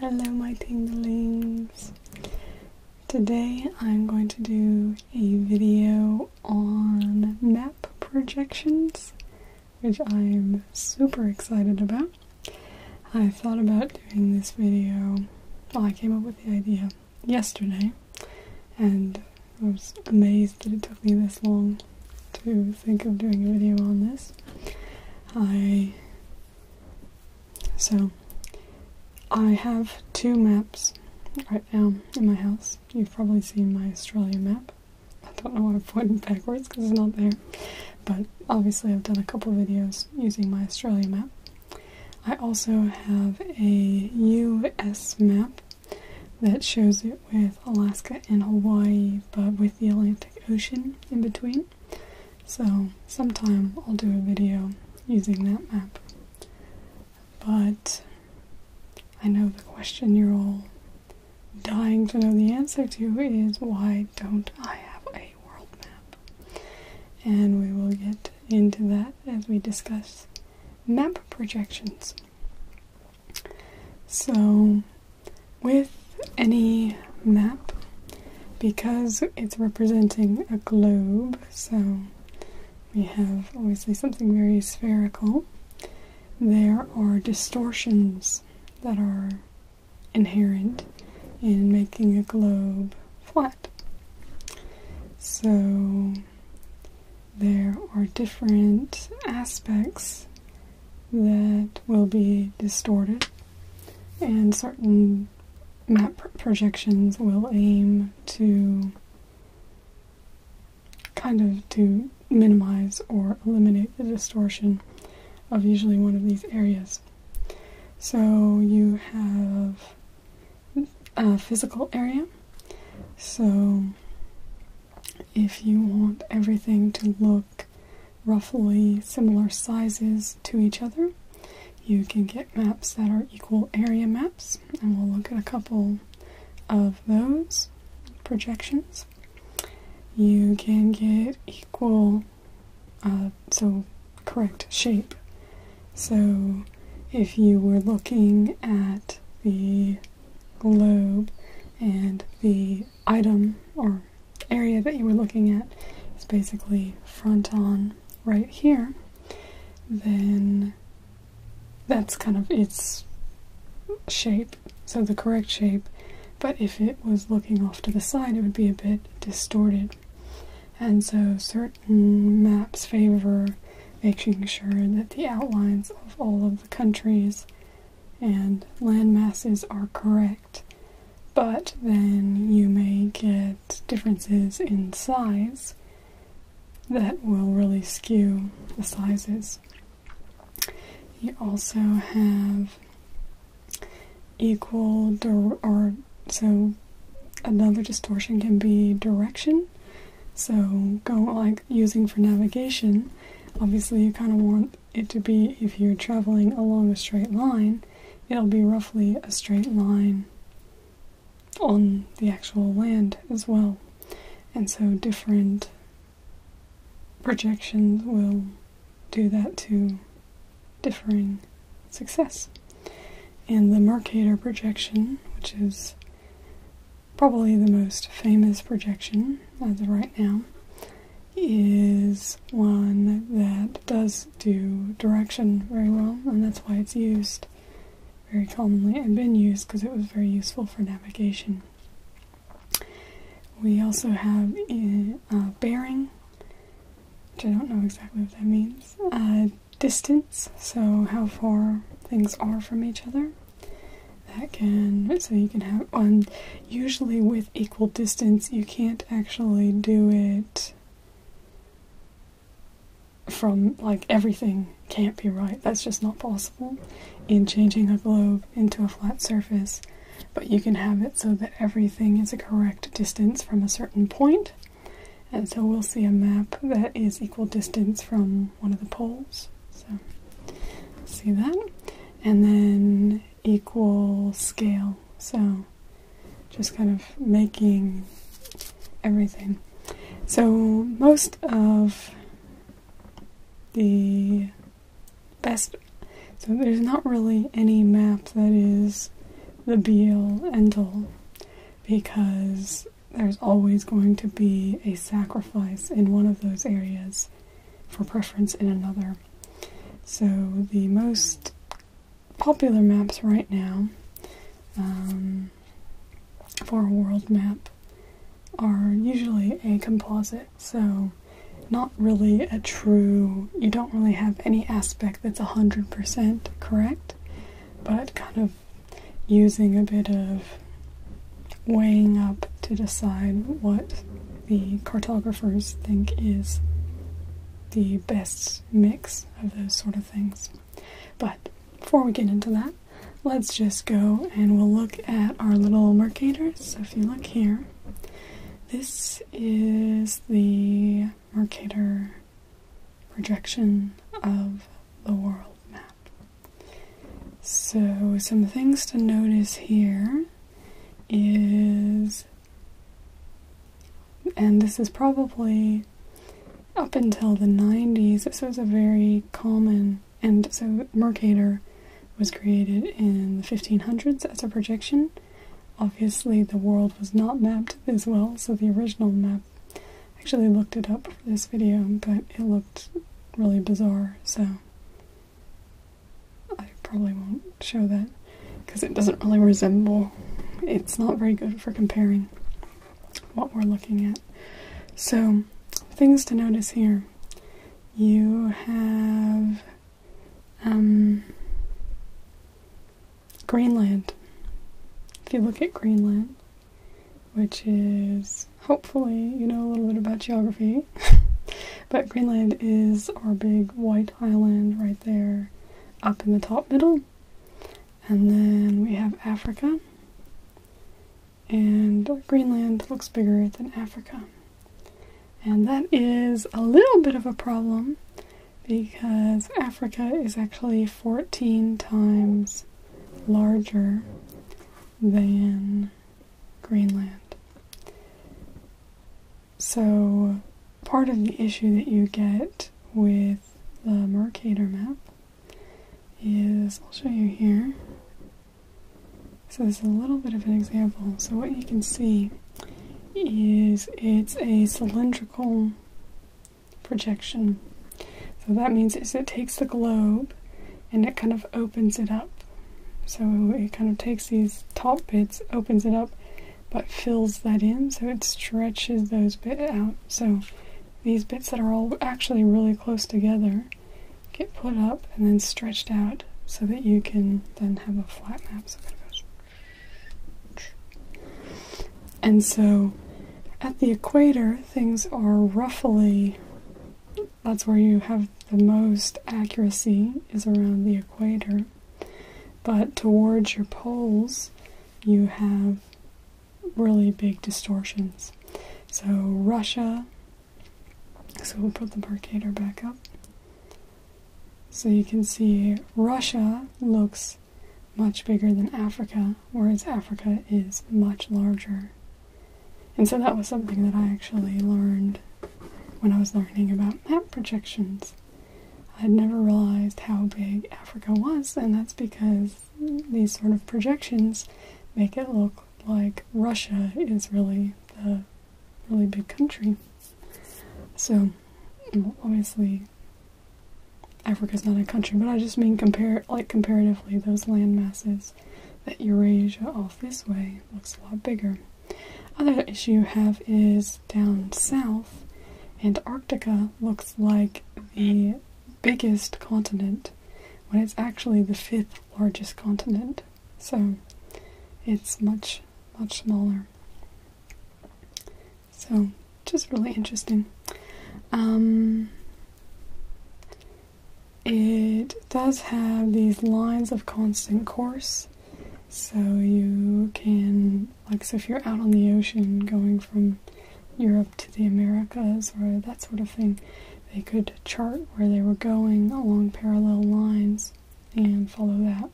Hello, my tinglings. Today I'm going to do a video on map projections, which I'm super excited about. I thought about doing this video, well, I came up with the idea yesterday, and I was amazed that it took me this long to think of doing a video on this. I. So, I have two maps right now in my house. You've probably seen my Australia map. I don't know why I'm pointing backwards because it's not there. But obviously I've done a couple videos using my Australia map. I also have a US map that shows it with Alaska and Hawaii, but with the Atlantic Ocean in between. So, sometime I'll do a video using that map. But I know the question you're all dying to know the answer to is why don't I have a world map. And we will get into that as we discuss map projections. So, with any map, because it's representing a globe, so we have obviously something very spherical, there are distortions that are inherent in making a globe flat. So there are different aspects that will be distorted, and certain map projections will aim to kind of to minimize or eliminate the distortion of usually one of these areas. So you have a physical area. So if you want everything to look roughly similar sizes to each other, you can get maps that are equal area maps, and we'll look at a couple of those projections. You can get equal uh, so correct shape. So if you were looking at the globe and the item or area that you were looking at is basically front on right here, then that's kind of its shape, so the correct shape. But if it was looking off to the side, it would be a bit distorted. And so certain maps favor making sure that the outlines of all of the countries and land masses are correct. But then you may get differences in size that will really skew the sizes. You also have equal or so another distortion can be direction. So go like using for navigation, obviously you kind of want it to be if you're traveling along a straight line, it'll be roughly a straight line on the actual land as well. And so different projections will do that too differing success. And the Mercator projection, which is probably the most famous projection as of right now, is one that does do direction very well, and that's why it's used very commonly and been used because it was very useful for navigation. We also have a, eh, uh, bearing which I don't know exactly what that means, uh, distance, so how far things are from each other. That can, so you can have, on usually with equal distance, you can't actually do it from like everything can't be right. That's just not possible in changing a globe into a flat surface but you can have it so that everything is a correct distance from a certain And so we'll see a map that is equal distance from one of the poles. So see that. And then equal scale. So just kind of making everything. So most of the best. So there's not really any map that is the be all end all because there's always going to be a sacrifice in one of those areas for preference in another. So the most popular maps right now um, for a world map are usually a composite so, not really a true, you don't really have any aspect that's 100% correct, but kind of using a bit of weighing up to decide what the cartographers think is the best mix of those sort of things. But before we get into that, let's just go and we'll look at our little mercators. So if you look here, this is the Mercator projection of the world map. So, some things to notice here is, and this is probably up until the 90s, this was a very common, and so Mercator was created in the 1500s as a projection Obviously, the world was not mapped as well, so the original map actually looked it up for this video, but it looked really bizarre, so I probably won't show that because it doesn't really resemble. It's not very good for comparing what we're looking at. So, things to notice here you have um, Greenland. If you look at Greenland, which is hopefully you know a little bit about geography, but Greenland is our big white island right there up in the top middle. And then we have Africa. And Greenland looks bigger than Africa. And that is a little bit of a problem because Africa is actually 14 times larger than Greenland. So, part of the issue that you get with the Mercator map is I'll show you here so this is a little bit of an example. So what you can see is it's a cylindrical projection. So that means is it takes the globe and it kind of opens it up. So it kind of takes these top bits, opens it up, but fills that in so it stretches those bits out. So these bits that are all actually really close together get put up and then stretched out so that you can then have a flat map. So and so at the equator, things are roughly, that's where you have the most accuracy is around the equator. But towards your poles, you have really big distortions. So Russia so we'll put the Mercator back up. So you can see Russia looks much bigger than Africa, whereas Africa is much larger. And so that was something that I actually learned when I was learning about map projections. I had never realized how big Africa was, and that's because these sort of projections make it look like Russia is really the really big country. So, obviously, Africa is not a country, but I just mean compare like comparatively those land masses that Eurasia off this way looks a lot bigger. Other issue you have is down south, Antarctica looks like the biggest continent when it's actually the fifth largest continent so it's much much smaller so just really interesting um, it does have these lines of constant course so you can like so if you're out on the ocean going from Europe to the Americas or that sort of thing they could chart where they were going along parallel lines and follow that.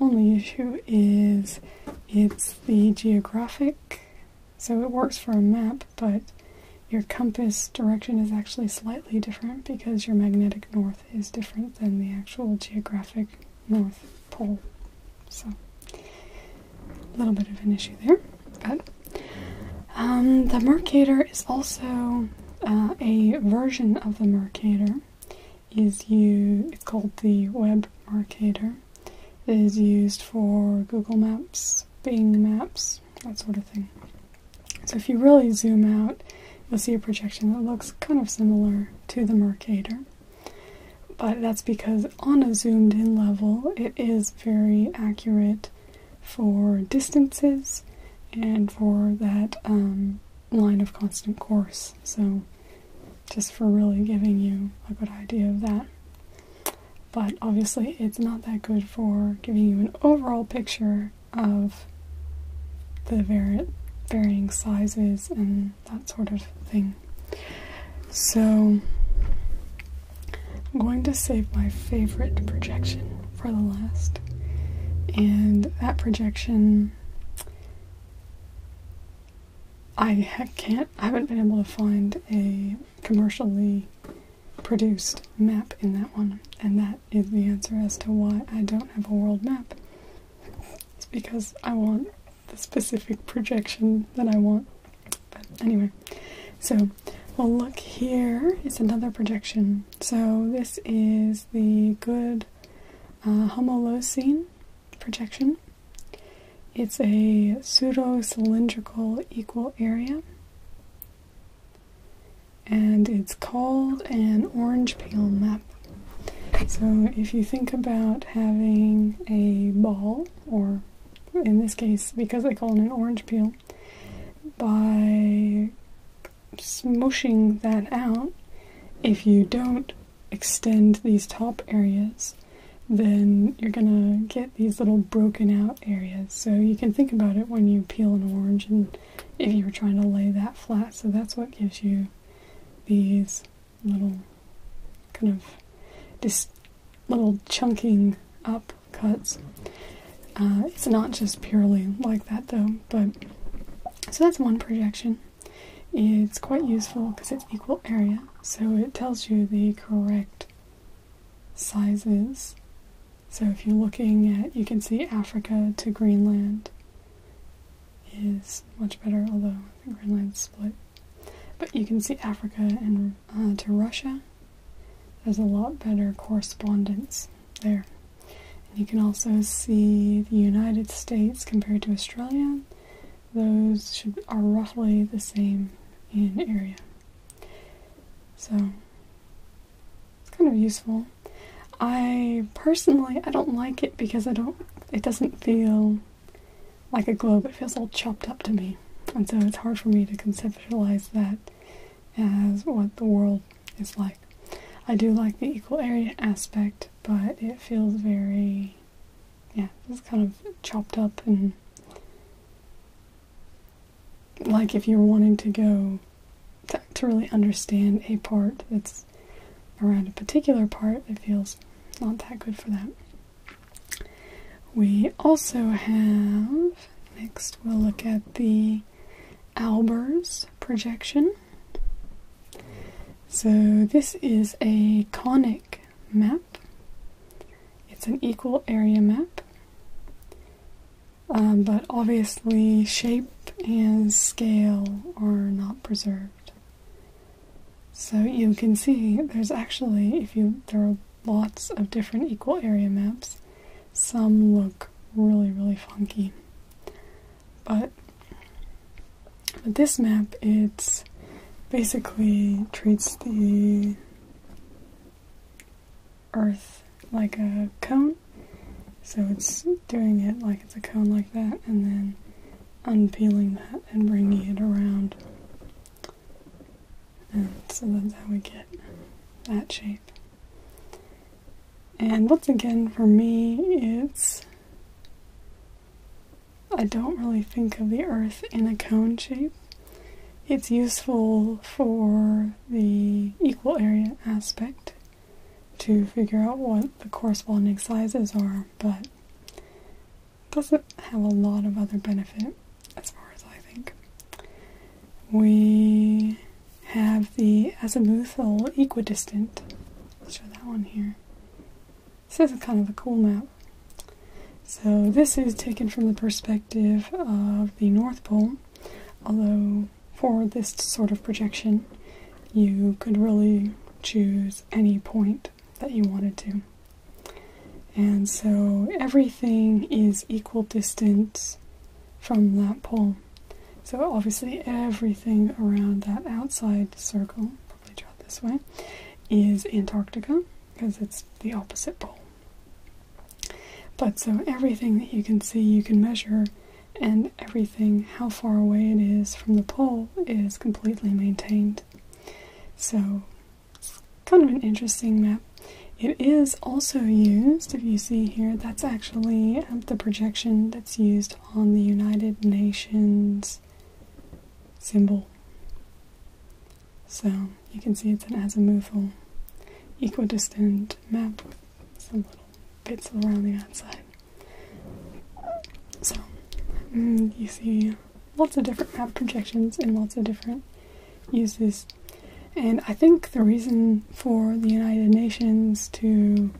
Only issue is it's the geographic, so it works for a map, but your compass direction is actually slightly different because your magnetic north is different than the actual geographic north pole. So, a little bit of an issue there, but um, the Mercator is also uh, a version of the Mercator is called the Web Mercator. It is used for Google Maps, Bing Maps, that sort of thing. So if you really zoom out, you'll see a projection that looks kind of similar to the Mercator. But that's because on a zoomed in level, it is very accurate for distances and for that um, line of constant course. So, just for really giving you a good idea of that. But obviously, it's not that good for giving you an overall picture of the vari- varying sizes and that sort of thing. So, I'm going to save my favorite projection for the last. And that projection, I can't, I haven't been able to find a commercially produced map in that one. And that is the answer as to why I don't have a world map. It's because I want the specific projection that I want. But anyway, so we'll look here. It's another projection so this is the good uh, projection. It's a pseudo-cylindrical equal area, and it's called an orange peel map. So if you think about having a ball, or in this case, because I call it an orange peel, by smooshing that out, if you don't extend these top areas, then you're gonna get these little broken out areas. So you can think about it when you peel an orange and if you were trying to lay that flat. So that's what gives you these little kind of this little chunking up cuts. Uh, it's not just purely like that though, but so that's one projection. It's quite useful because it's equal area, so it tells you the correct sizes. So if you're looking at, you can see Africa to Greenland is much better, although I think Greenland's split. But you can see Africa and uh, to Russia there's a lot better correspondence there. you can also see the United States compared to Australia. Those are roughly the same in area. So it's kind of useful. I personally I don't like it because I don't it doesn't feel like a globe. It feels all chopped up to me. And so it's hard for me to conceptualize that as what the world is like. I do like the equal area aspect, but it feels very, yeah, it's kind of chopped up and like if you're wanting to go to, really understand a part that's around a particular part, it feels not that good for that. We also have Next, we'll look at the Albers projection. So, this is a conic map, it's an equal area map, um, but obviously, shape and scale are not preserved. So, you can see there's actually, if you there are lots of different equal area maps. Some look really, really funky. But, but this map, it basically treats the earth like a cone. So it's doing it like it's a cone like that, and then unpeeling that and bringing it around and so that's how we get that shape. And once again, for me, it's. I don't really think of the earth in a cone shape. It's useful for the equal area aspect to figure out what the corresponding sizes are, but doesn't have a lot of other benefit as far as I think. We have the azimuthal equidistant. Let's show that one here. This is kind of a cool map. So this is taken from the perspective of the North Pole, although for this sort of projection, you could really choose any point that you wanted to and so everything is equal distance from that pole. So obviously everything around that outside circle, probably draw it this way, is Antarctica because it's the opposite pole. But so everything that you can see you can measure and everything how far away it is from the pole is completely maintained. So kind of an interesting map. It is also used, if you see here, that's actually um, the projection that's used on the United Nations symbol. So you can see it's an azimuthal, equidistant map with some little bits around the outside. So mm, you see lots of different map projections and lots of different uses and I think the reason for the United Nations to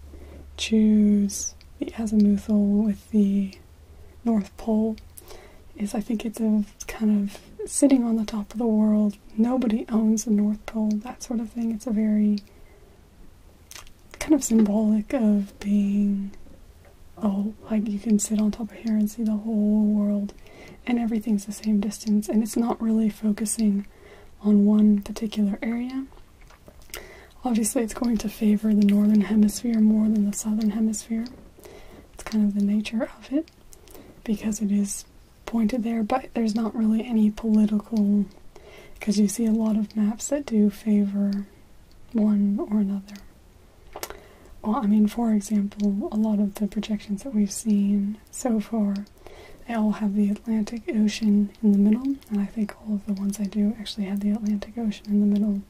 choose the azimuthal with the North Pole is I think it's a kind of sitting on the top of the world. Nobody owns the North Pole, that sort of thing. It's a very kind of symbolic of being oh, like you can sit on top of here and see the whole world and everything's the same distance, and it's not really focusing on one particular area. Obviously, it's going to favor the northern hemisphere more than the southern hemisphere. It's kind of the nature of it because it is pointed there, but there's not really any political, because you see a lot of maps that do favor one or another. Well, I mean, for example, a lot of the projections that we've seen so far, they all have the Atlantic Ocean in the middle, and I think all of the ones I do actually have the Atlantic Ocean in the middle,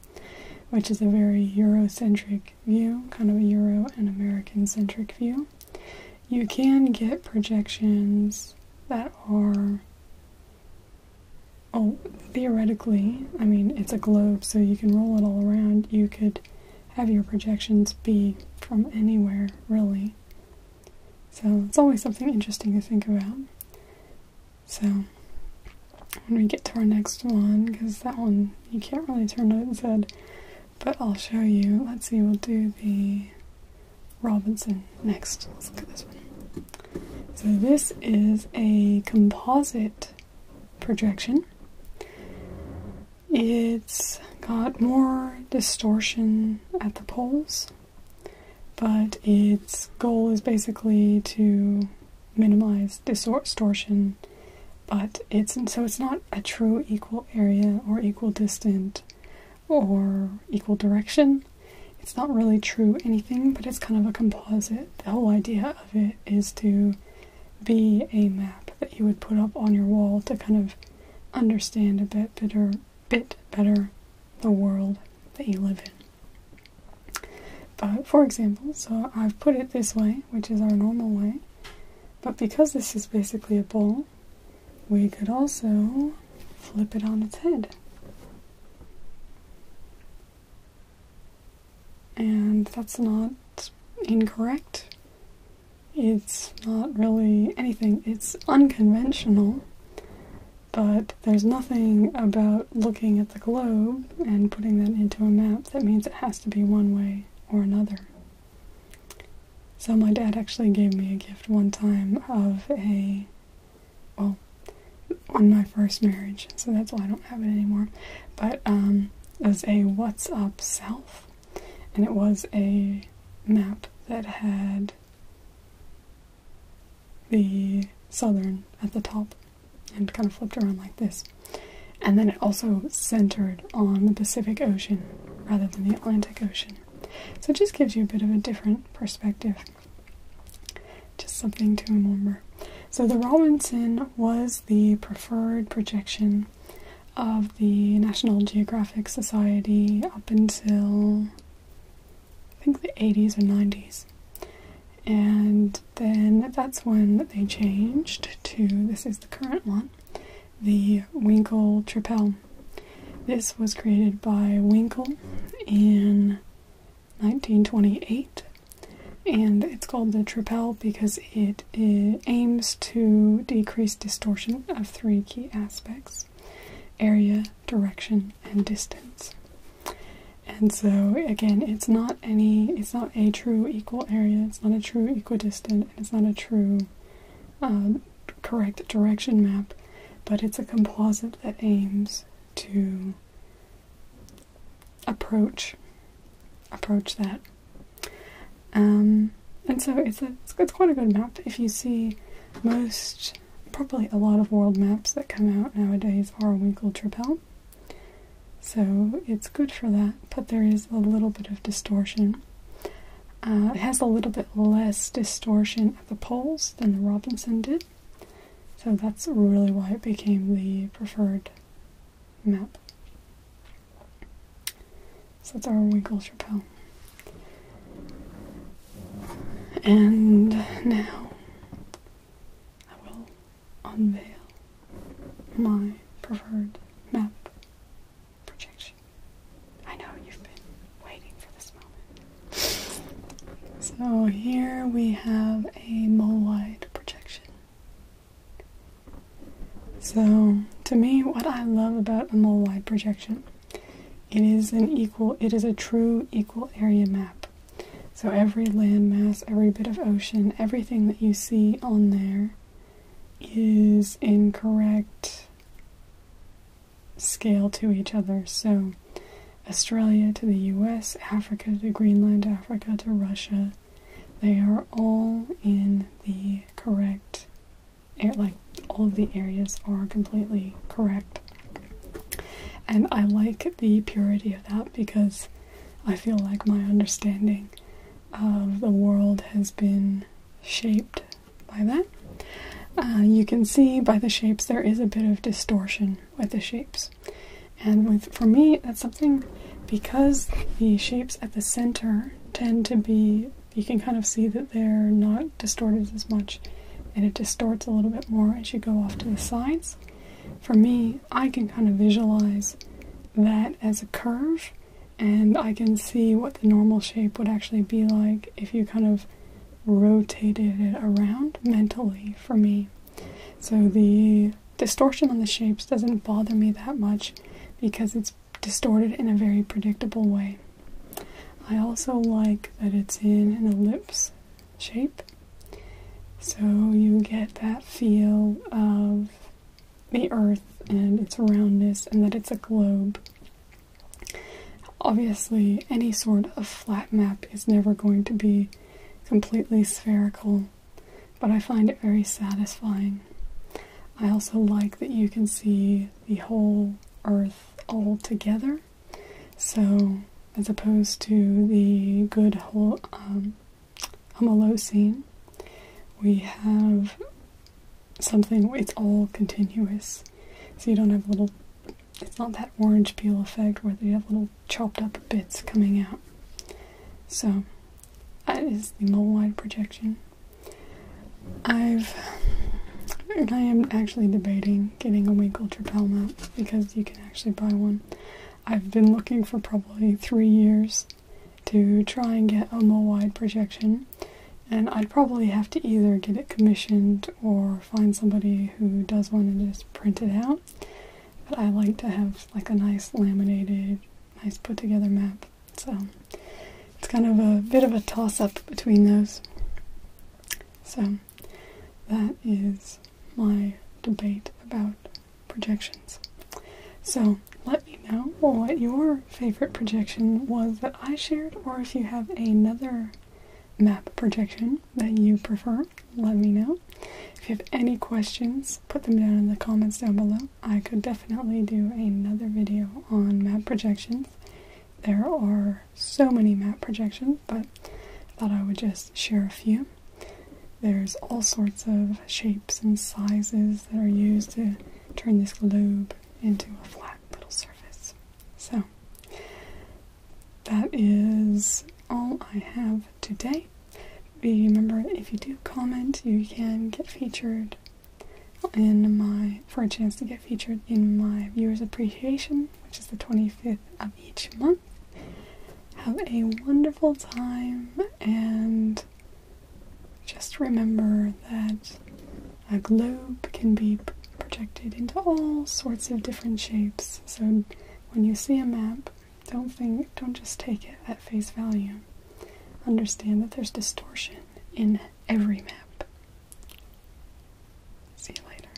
which is a very Eurocentric view, kind of a Euro and American centric view. You can get projections that are Oh, theoretically, I mean, it's a globe, so you can roll it all around. You could have your projections be from anywhere, really. So it's always something interesting to think about. So when we get to our next one, because that one you can't really turn it its head, but I'll show you. Let's see, we'll do the Robinson next. Let's look at this one. So this is a composite projection. It's got more distortion at the poles, but its goal is basically to minimize distortion. But it's so it's not a true equal area or equal distant or equal direction. It's not really true anything, but it's kind of a composite. The whole idea of it is to be a map that you would put up on your wall to kind of understand a bit better, bit better the world that you live in. But for example, so I've put it this way, which is our normal way, but because this is basically a bowl, we could also flip it on its head and that's not incorrect. It's not really anything, it's unconventional, but there's nothing about looking at the globe and putting that into a map that means it has to be one way or another. So my dad actually gave me a gift one time of a, well, on my first marriage, so that's why I don't have it anymore. But um, as a What's Up South, and it was a map that had the southern at the top and kind of flipped around like this. And then it also centered on the Pacific Ocean rather than the Atlantic Ocean. So it just gives you a bit of a different perspective. Just something to remember. So the Robinson was the preferred projection of the National Geographic Society up until I think the 80s or 90s. And then that's when they changed to this is the current one, the Winkle Tripel. This was created by Winkle in 1928 and it's called the Trapel because it, aims to decrease distortion of three key aspects area, direction, and distance. And so again, it's not any it's not a true equal area, it's not a true equidistant, and it's not a true um, correct direction map, but it's a composite that aims to approach approach that. Um, and so it's a it's, quite a good map. If you see most probably a lot of world maps that come out nowadays are Winkle Trapel. So it's good for that, but there is a little bit of distortion. Uh, it has a little bit less distortion at the poles than the Robinson did. So that's really why it became the preferred map. So that's our Winkle's Repel. And now I will unveil my preferred map projection. I know you've been waiting for this moment. So here we have a mole wide projection. So, to me, what I love about a Mollweide projection, it is an equal, it is a true equal area map. So every landmass, every bit of ocean, everything that you see on there is in correct scale to each other. So Australia to the US, Africa to Greenland, Africa to Russia. They are all in the correct, like all of the areas are completely correct. And I like the purity of that because I feel like my understanding of the world has been shaped by that. Uh, you can see by the shapes there is a bit of distortion with the shapes. And for me, that's something because the shapes at the center tend to be, you can kind of see that they're not distorted as much and it distorts a little bit more as you go off to the sides. For me, I can kind of visualize that as a curve and I can see what the normal shape would actually be like if you kind of rotated it around mentally for me. So the distortion on the shapes doesn't bother me that much because it's distorted in a very predictable way. I also like that it's in an ellipse shape. So you get that feel of the earth and its roundness and that it's a globe. Obviously, any sort of flat map is never going to be be completely spherical, but I find it very satisfying. I also like that you can see the whole earth all together, so as opposed to the good whole um, homolocene, we have something, it's all continuous. So you don't have little it's not that orange peel effect where they have little chopped up bits coming out. So that is the mole wide projection. I've I am actually debating getting a Winkle Trapel mount because you can actually buy one. I've been looking for probably three years to try and get a mole wide projection, and I'd probably have to either get it commissioned or find somebody who does one and just print it out but I like to have like a nice laminated, nice put together map. So it's kind of a bit of a toss up between those. So that is my debate about projections. So let me know what your favorite projection was that I shared, or if you have another map projection that you prefer, let me know. If you have any questions, put them down in the comments down below. I could definitely do another video on map projections. There are so many map projections, but I thought I would just share a few. There's all sorts of shapes and sizes that are used to turn this globe into a flat little surface. So, that is all I have today. Remember, if you do comment, you can get featured in my for a chance to get featured in my viewers appreciation, which is the 25th of each month. Have a wonderful time and just remember that a globe can be projected into all sorts of different shapes. So when you see a map, don't think don't just take it at face value. Understand that there's distortion in every map. See you later.